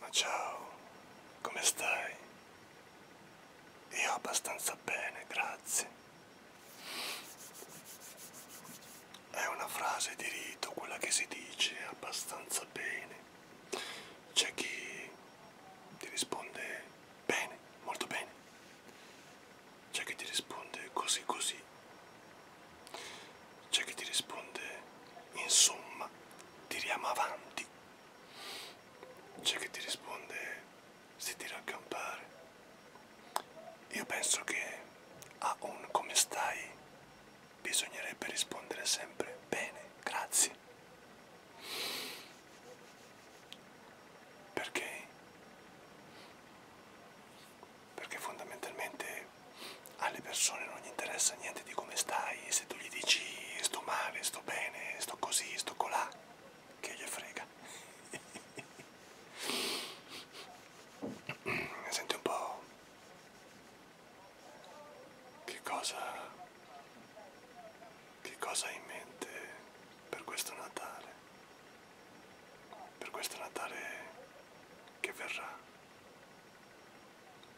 Ma ciao, come stai? Io abbastanza bene, grazie. È una frase di rito quella che si dice abbastanza bene. C'è chi ti risponde bene, molto bene. C'è chi ti risponde così così. C'è chi ti risponde insomma, tiriamo avanti. C'è chi ti risponde si tira a campare. Io penso che a un come stai bisognerebbe rispondere sempre bene, grazie. Perché? Perché fondamentalmente perché alle persone non gli interessa niente di come stai, se tu gli dici sto male, sto bene, sto così, sto colà, che gli frega. Senti un po'... Che cosa... Che cosa hai in mente per questo Natale? Per questo Natale che verrà?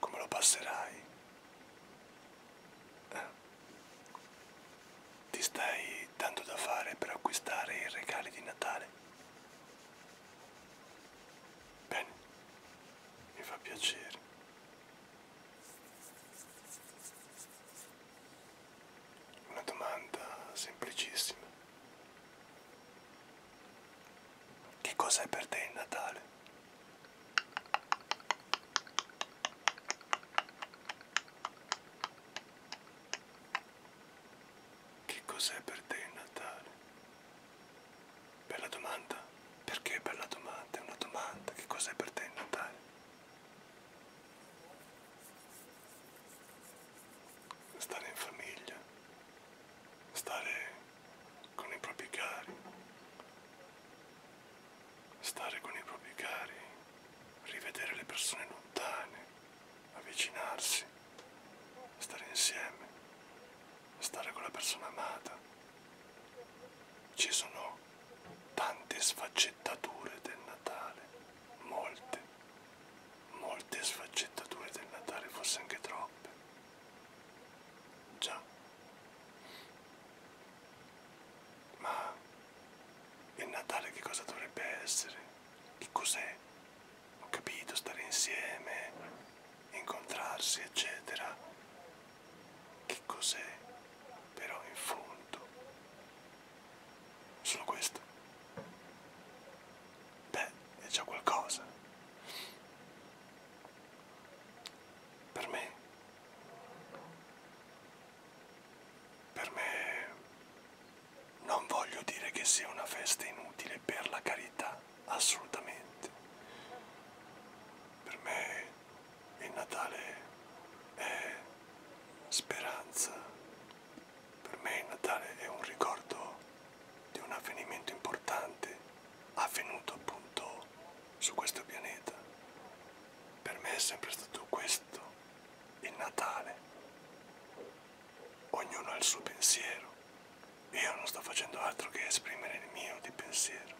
Come lo passerai? Eh? Ti stai dando da fare per acquistare i regali di Natale? Bene, mi fa piacere. Una domanda semplicissima. Che cos'è per te il Natale? Che cos'è per te il Natale? Bella domanda? Perché bella domanda? È una domanda. Che cos'è per te il Natale? Stare in famiglia, stare con i propri cari. Stare con i propri cari, rivedere le persone lontane, avvicinarsi, stare insieme, stare con la persona amata. Ci sono tante sfaccettature del Natale, molte, molte sfaccettature del Natale, forse anche troppe già, ma il Natale che cosa dovrebbe essere? Che cos'è? Ho capito, stare insieme, incontrarsi, eccetera. Che cos'è? Però in fondo, solo questo. Beh, è già qualcosa. Per me, per me, non voglio dire che sia una festa inutile per la carità, assolutamente. Per me il Natale è speranza, per me il Natale è un ricordo di un avvenimento importante avvenuto appunto su questo pianeta. Per me è sempre stato questo il Natale. Ognuno ha il suo pensiero. Io non sto facendo altro che esprimere il mio di pensiero.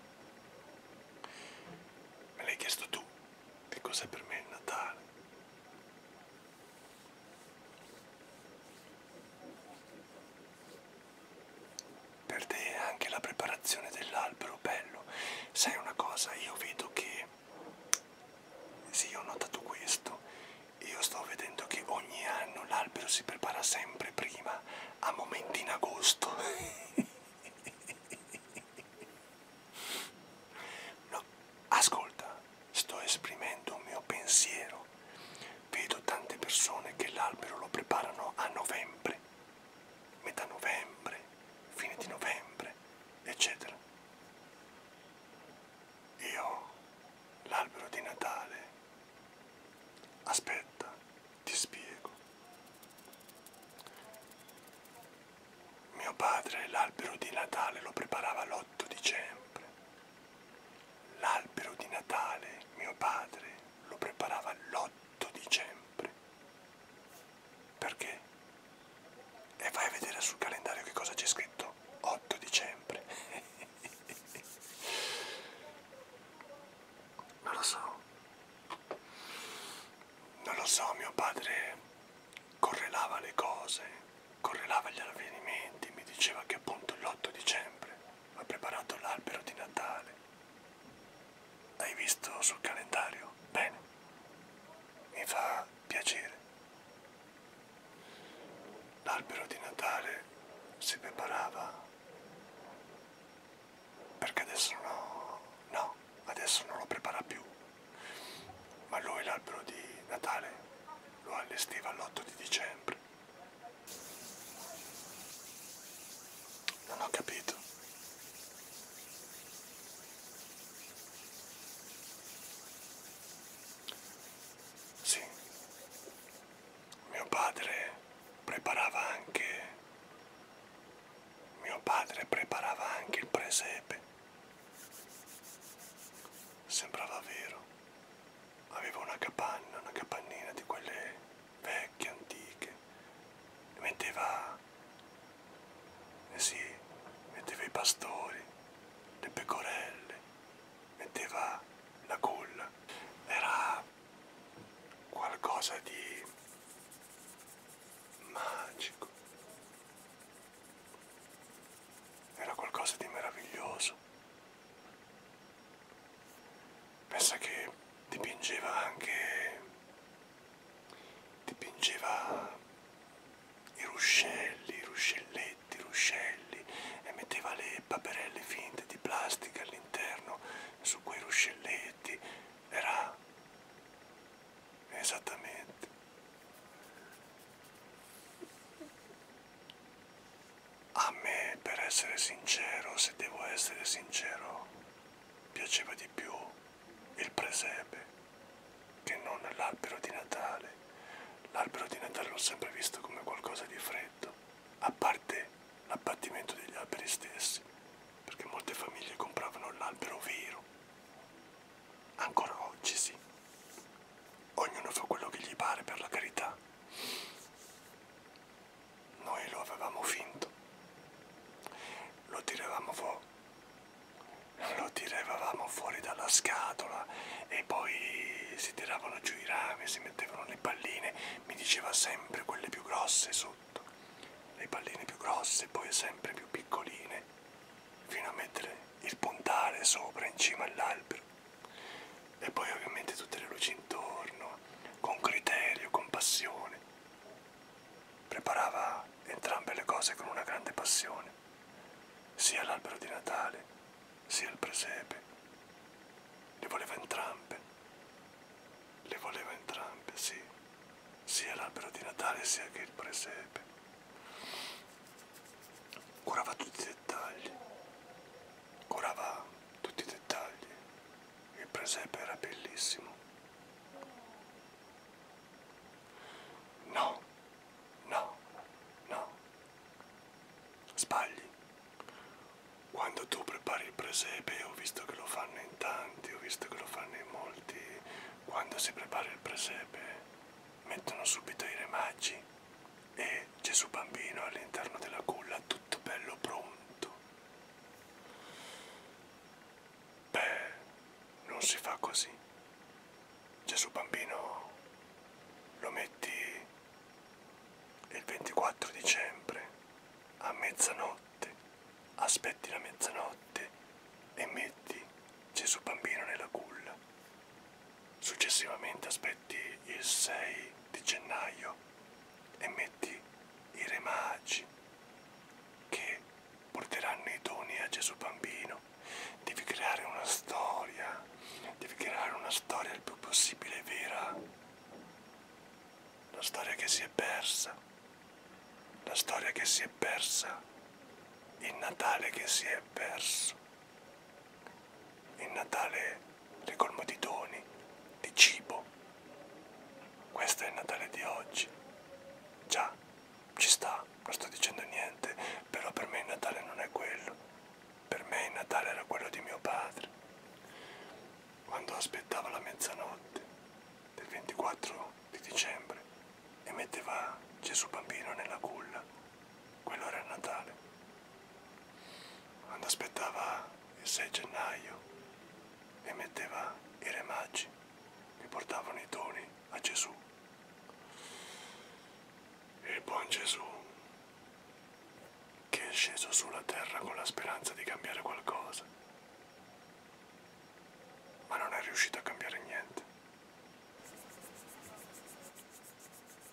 Me l'hai chiesto tu che cos'è per me il Natale. Per te anche la preparazione dell'albero, bello. Sai una cosa, io vedo che... Sì, ho notato questo. Io sto vedendo che ogni anno l'albero si prepara sempre prima, a momenti in agosto. no, ascolta, sto esprimendo un mio pensiero Vedo tante persone che l'albero lo preparano a novembre, metà novembre, fine di novembre, eccetera. Io l'albero di Natale, aspetta, ti spiego. Mio padre l'albero di Natale lo preparava l'8 dicembre. L'albero di Natale mio padre lo preparava l'8 dicembre. Perché? E vai a vedere sul calendario che cosa c'è scritto 8 dicembre. non lo so. Non lo so, mio padre correlava le cose, correlava gli avvenimenti, mi diceva che appunto l'8 dicembre ha preparato l'albero di Natale. Hai visto sul calendario? Bene. Mi fa piacere. L'albero di Natale si preparava perché adesso no, no, adesso non lo prepara più. Ma lui l'albero di Natale lo allestiva l'8 di dicembre non ho capito. Sì, mio padre preparava anche... Mio padre preparava anche il presepe. Sembrava vero aveva una capanna, una capannina di quelle vecchie, antiche, e metteva, eh sì, metteva i pastori, le pecorelle, metteva la culla, era qualcosa di magico, era qualcosa di meraviglioso. Pensa che dipingeva anche dipingeva i ruscelli, i ruscelletti, i ruscelli e metteva le paperelle finte di plastica all'interno su quei ruscelletti. Era esattamente a me, per essere sincero, se devo essere sincero, piaceva di più il presepe che non l'albero di Natale. L'albero di Natale l'ho sempre visto come qualcosa di freddo, a parte l'abbattimento degli alberi stessi, perché molte famiglie compravano l'albero vero. Ancora oggi sì. Ognuno fa quello che gli pare per la carità. Noi lo avevamo finto, lo tiravamo fuori. Lo tiravamo fuori dalla scatola e poi si tiravano giù i rami, si mettevano le palline, mi diceva sempre quelle più grosse sotto, le palline più grosse, poi sempre più piccoline, fino a mettere il puntale sopra in cima all'albero e poi ovviamente tutte le luci intorno, con criterio, con passione. Preparava entrambe le cose con una grande passione, sia l'albero di Natale, sia il presepe. Le voleva entrambe, le voleva entrambe, sì, sia l'albero di Natale sia che il presepe. Curava tutti i dettagli, curava tutti i dettagli, il presepe era bellissimo. No, no, no. Sbagli. Quando tu prepari il presepe, ho visto che lo fanno in tanti, ho visto che lo fanno in molti, quando si prepara il presepe mettono subito i remaggi e Gesù bambino all'interno della culla tutto bello pronto. Beh, non si fa così. Gesù bambino lo metti il 24 dicembre a mezzanotte, aspetti la mezzanotte e metti Gesù bambino nella culla. Successivamente aspetti il 6 di gennaio e metti i re magi che porteranno i doni a Gesù Bambino. Devi creare una storia, devi creare una storia il più possibile vera. La storia che si è persa, la storia che si è persa, il Natale che si è perso. Il Natale ricolmo di doni, di cibo. Questo è il Natale di oggi. Già, ci sta, non sto dicendo niente, però per me il Natale non è quello. Per me il Natale era quello di mio padre. Quando aspettava la mezzanotte del 24 di dicembre e metteva Gesù bambino nella culla, quello era il Natale quando aspettava il 6 gennaio e metteva i re magi che portavano i doni a Gesù. Il buon Gesù, che è sceso sulla terra con la speranza di cambiare qualcosa, ma non è riuscito a cambiare niente.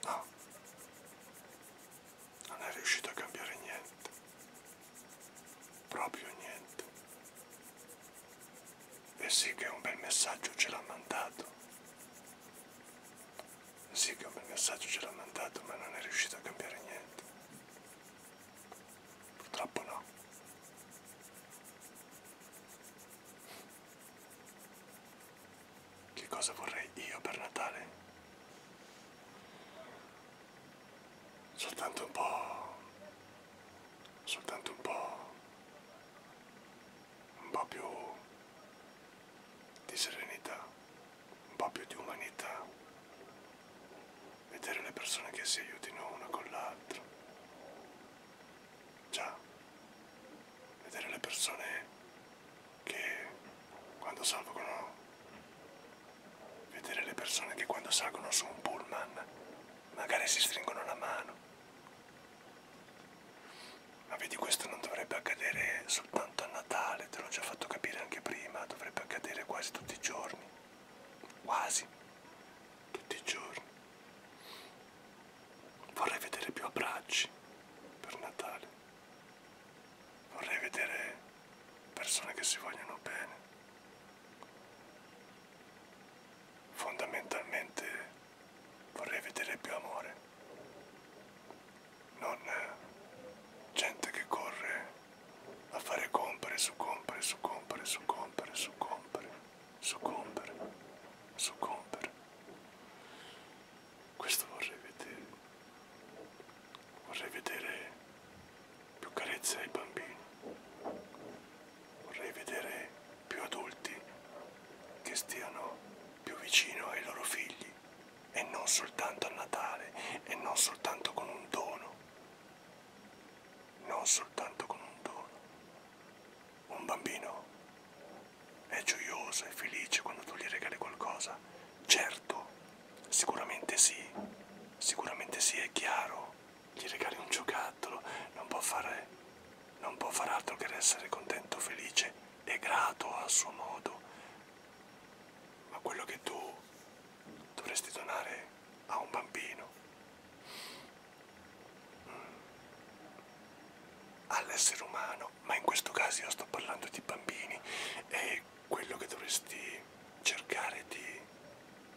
No, non è riuscito a cambiare niente, proprio niente. E sì che un bel messaggio ce l'ha mandato, e sì che un bel messaggio ce l'ha mandato, ma non è riuscito a cambiare niente. Purtroppo no. Che cosa vorrei io per Natale? Soltanto un po'... Soltanto un po'... Un po' più di serenità, un po' più di umanità. Vedere le persone che si aiutino una con l'altra. Già, vedere le persone che quando salgono, vedere le persone che quando salgono su un pullman magari si stringono la mano. Ma vedi questo non dovrebbe accadere soltanto a Natale, te l'ho già fatto capire anche prima, dovrebbe accadere quasi tutti i giorni, quasi tutti i giorni. Vorrei vedere più abbracci per Natale vorrei vedere persone che si vogliono bene. Fondamentalmente vorrei vedere più amore, non gente che corre a fare compere su compere su compere su compere su compere su compere su compere. Questo vorrei vedere. Vorrei vedere più carezze ai bambini. Vorrei vedere più adulti che stiano più vicino ai loro figli e non soltanto a Natale e non soltanto con un dono. Non soltanto con un dono. Un bambino è gioioso e felice quando tu gli regali qualcosa? Certo, sicuramente sì, sicuramente sì, è chiaro. Gli regali un giocattolo, non può fare, non può far altro che essere contento, felice e grato a suo modo. Ma quello che tu dovresti donare a un bambino, mm, all'essere umano, ma in questo caso io sto parlando di bambini e quello che dovresti cercare di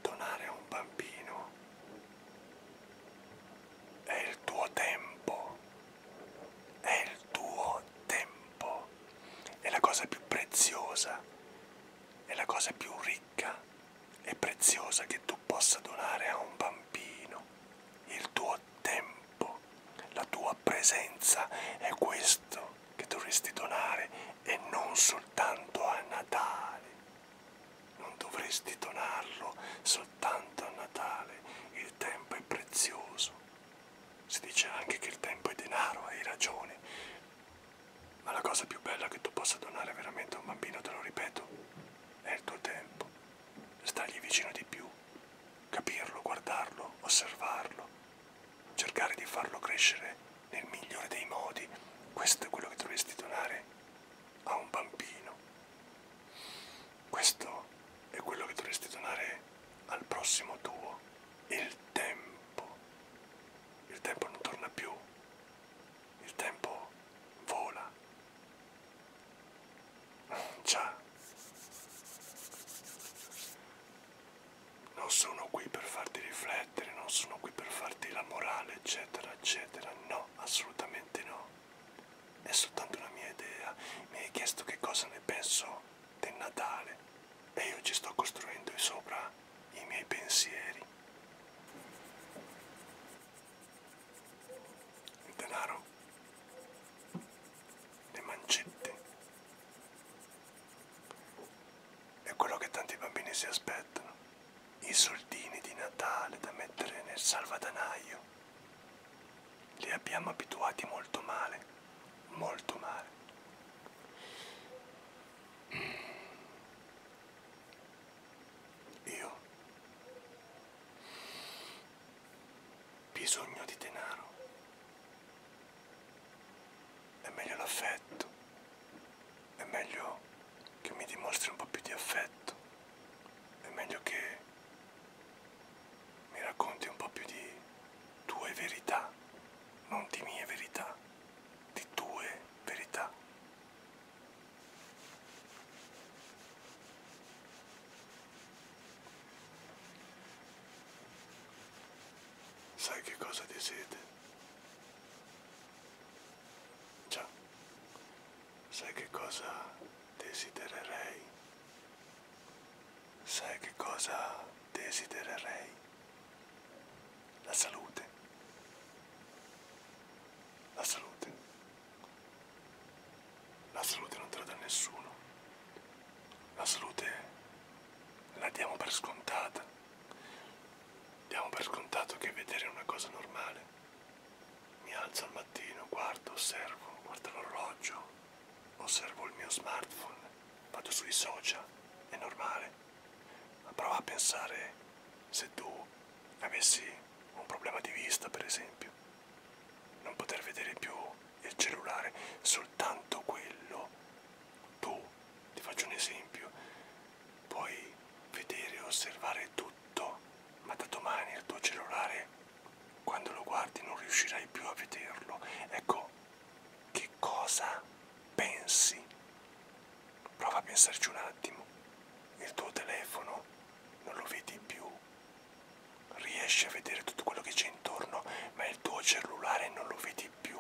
donare a un bambino è il tuo tempo, è il tuo tempo, è la cosa più preziosa, è la cosa più ricca e preziosa che tu possa donare a un bambino, il tuo tuo tempo, la tua presenza è questo che dovresti donare e non soltanto a Natale. Non dovresti donarlo soltanto a Natale, il tempo è prezioso. Si dice anche che il tempo è denaro, hai ragione. Ma la cosa più bella che tu possa donare veramente a un bambino, te lo ripeto, è il tuo tempo. Stargli vicino di più, capirlo, guardarlo, osservarlo, cercare di farlo crescere nel migliore dei modi. Questo è quello che dovresti donare a un bambino. Questo è quello che dovresti donare al prossimo tuo, il tempo. Il tempo non torna più, il tempo vola, Già, non sono qui per farti riflettere, non sono qui per farti la morale, eccetera, eccetera. No, assolutamente no. È soltanto una mia idea. Mi hai chiesto che cosa ne penso del Natale e io ci sto costruendo sopra i miei pensieri. Denaro, le mancette. È quello che tanti bambini si aspettano, i soldini di Natale da mettere nel salvadanaio. Li abbiamo abituati molto male, molto male. Mm. Io bisogno di denaro. È meglio l'affetto, è meglio che mi dimostri un po' più di affetto, è meglio che mi racconti un po' più di tue verità, non di mie verità, di tue verità. Sai che cosa desiderio? Già, sai che cosa desidererei? Sai che cosa desidererei? La salute. La salute. La salute non te la dà nessuno. La salute la diamo per scontata. Diamo per scontato che vedere è una cosa normale. Mi alzo al mattino, guardo, osservo, guardo l'orologio, osservo il mio smartphone, vado sui social, è normale. Ma prova a pensare se tu avessi un problema di vista, per esempio non poter vedere più il cellulare, soltanto quello. Tu, ti faccio un esempio, puoi vedere e osservare tutto, ma da domani il tuo cellulare, quando lo guardi, non riuscirai più a vederlo. Ecco, che cosa pensi? Prova a pensarci un attimo. Il tuo telefono non lo vedi più, riesci a vedere tutto quello che c'è intorno, ma il tuo cellulare non lo vedi più.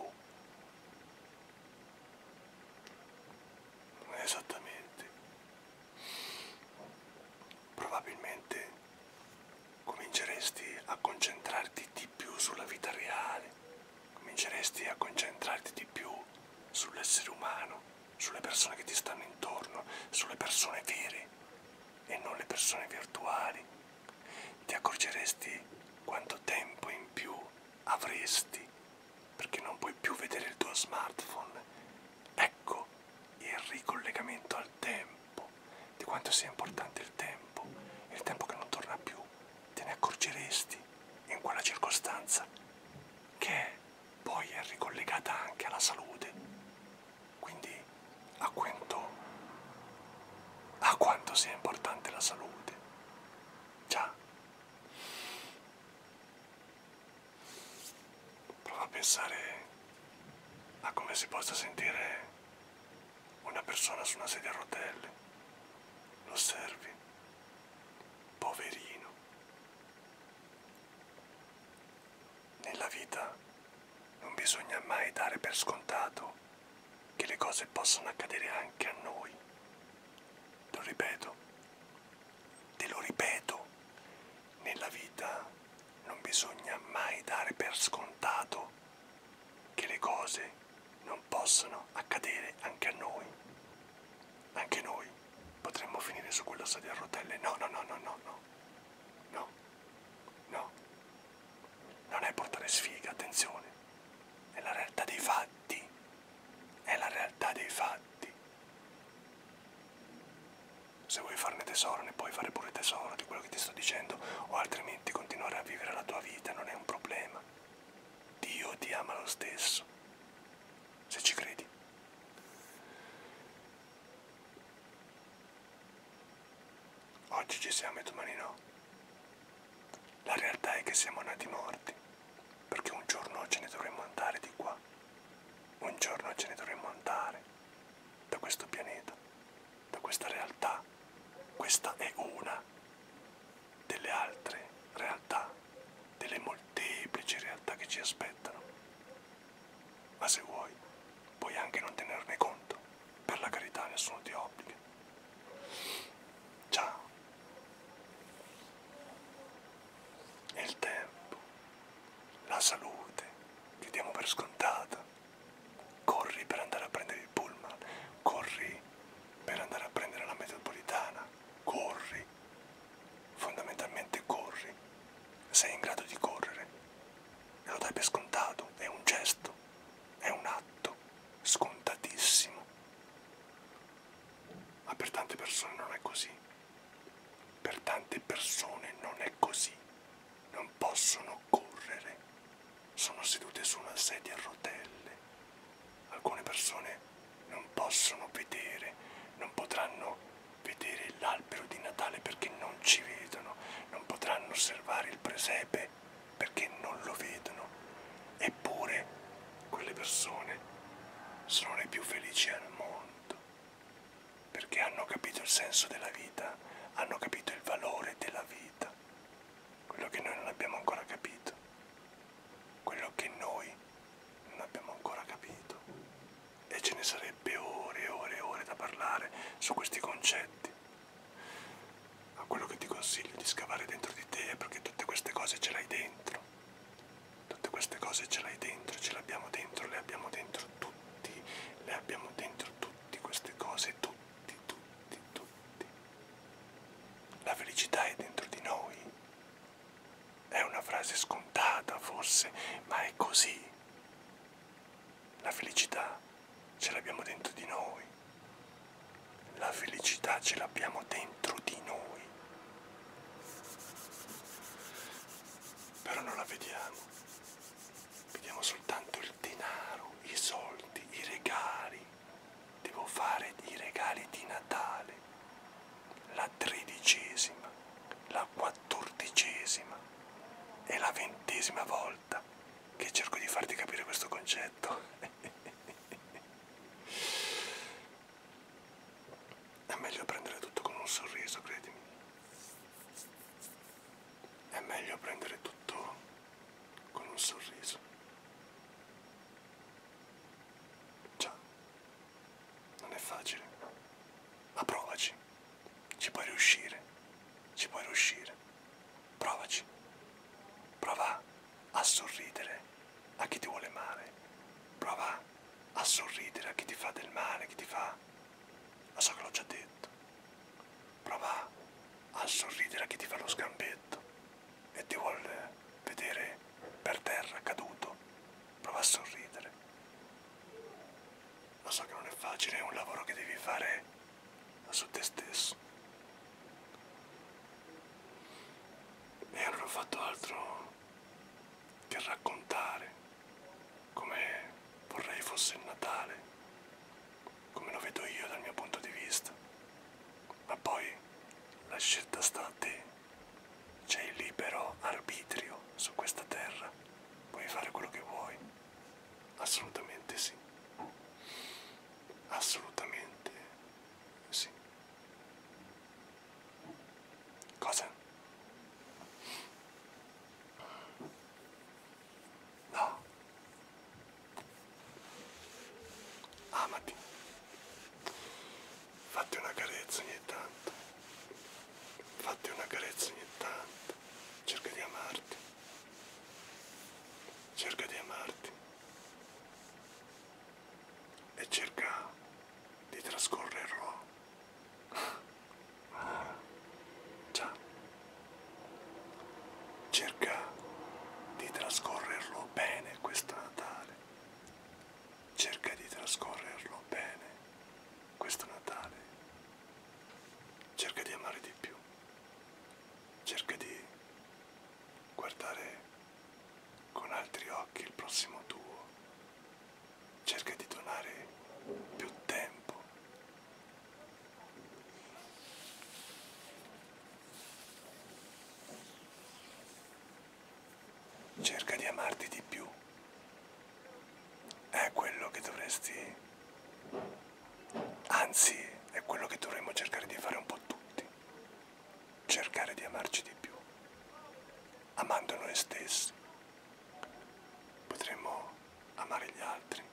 Esattamente. Probabilmente cominceresti a concentrarti di più sulla vita reale, cominceresti a concentrarti di più sull'essere umano, sulle persone che ti stanno intorno, sulle persone vere e non le persone virtuali. Ti accorgeresti quanto tempo in più avresti perché non puoi più vedere il tuo smartphone. Ecco il ricollegamento al tempo, di quanto sia importante il tempo, il tempo che non torna più. Te ne accorgeresti in quella circostanza che poi è ricollegata anche alla salute. Quindi a quanto, a quanto sia importante la salute. Già. Prova a pensare a come si possa sentire una persona su una sedia a rotelle. Lo osservi. Poverino. Nella vita non bisogna mai dare per scontato che le cose possano accadere anche a noi. Te lo ripeto, te lo ripeto, nella vita non bisogna mai dare per scontato che le cose non possano accadere anche a noi. Anche noi potremmo finire su quella sedia a rotelle. No, no, no, no, no, no. No, no, no, non è portare sfiga, attenzione, è la realtà dei fatti, è la realtà dei fatti. Se vuoi farne tesoro ne puoi fare pure tesoro di quello che ti sto dicendo o altrimenti continuare a vivere la tua vita non è un problema. Dio ti ama lo stesso, se ci credi. Oggi ci siamo e domani no. La realtà è che siamo nati morti, perché un giorno ce ne dovremmo andare di qua. Un giorno ce ne dovremmo andare da questo pianeta, da questa realtà. Questa è una delle altre realtà, delle molteplici realtà che ci aspettano. Ma se vuoi, puoi anche non tenerne conto. Per la carità nessuno ti obbliga. Ciao. E il tempo, la salute, che diamo per scontata. Corri per andare a prendere il pullman, corri per andare a prendere la metropolitana, corri. Fondamentalmente corri. Sei in grado di correre e lo dai per scontato, è un gesto, è un atto scontatissimo. Ma per tante persone non è così. Per tante persone non è così. Non possono correre. Sono sedute su una sedia a rotelle. Alcune persone non possono vedere, non potranno vedere l'albero di Natale perché non ci vedono, non potranno osservare il presepe perché non lo vedono. Eppure quelle persone sono le più felici al mondo perché hanno capito il senso della vita, hanno capito il valore della vita, quello che noi non abbiamo ancora capito, quello che noi non abbiamo ancora capito e ce ne sarebbe ore e ore e ore da parlare su questi concetti. Ma quello che ti consiglio di scavare dentro di te è perché tutte queste cose ce l'hai dentro. Tutte queste cose ce l'hai dentro, ce le abbiamo dentro, le abbiamo dentro tutti, le abbiamo dentro tutti queste cose, tutti, tutti, tutti. La felicità è dentro di noi. È una frase scontata forse, ma è così. La felicità ce l'abbiamo dentro di noi. La felicità ce l'abbiamo dentro di noi. Però non la vediamo. Vediamo soltanto il denaro, i soldi, i regali. Devo fare i regali di Natale. La tredicesima, la quattordicesima è la ventesima volta che cerco di farti capire questo concetto. È meglio prendere tutto con un sorriso, credimi. È meglio prendere tutto con un sorriso. Già, non è facile, ma provaci. Ci puoi riuscire, ci puoi riuscire. Provaci. Prova a sorridere a chi ti vuole male. Prova a sorridere a chi ti fa del male, chi ti fa... Lo so che l'ho già detto. Prova a sorridere a chi ti fa lo sgambetto e ti vuole vedere per terra caduto. Prova a sorridere. Lo so che non è facile, è un lavoro che devi fare su te stesso. E non ho fatto altro che raccontare come vorrei fosse il Natale, come lo vedo io dal mio punto di vista. Ma poi la scelta sta a te, c'è il libero arbitrio su questa terra puoi fare quello che vuoi, assolutamente sì, assolutamente sì. Cosa? No. Amati. Fatti una carezza ogni tanto fatti una carezza ogni tanto, cerca di amarti, cerca di amarti e cerca di trascorrerlo. Già, cerca di trascorrerlo bene questo Natale, cerca di trascorrerlo bene questo Natale Cerca di amare di più. Cerca di guardare con altri occhi il prossimo tuo. Cerca di donare più tempo. Cerca di amarti di più è quello che dovresti, anzi è quello che dovremmo cercare di fare un po' tutti, cercare di amarci di più, amando noi stessi potremmo amare gli altri.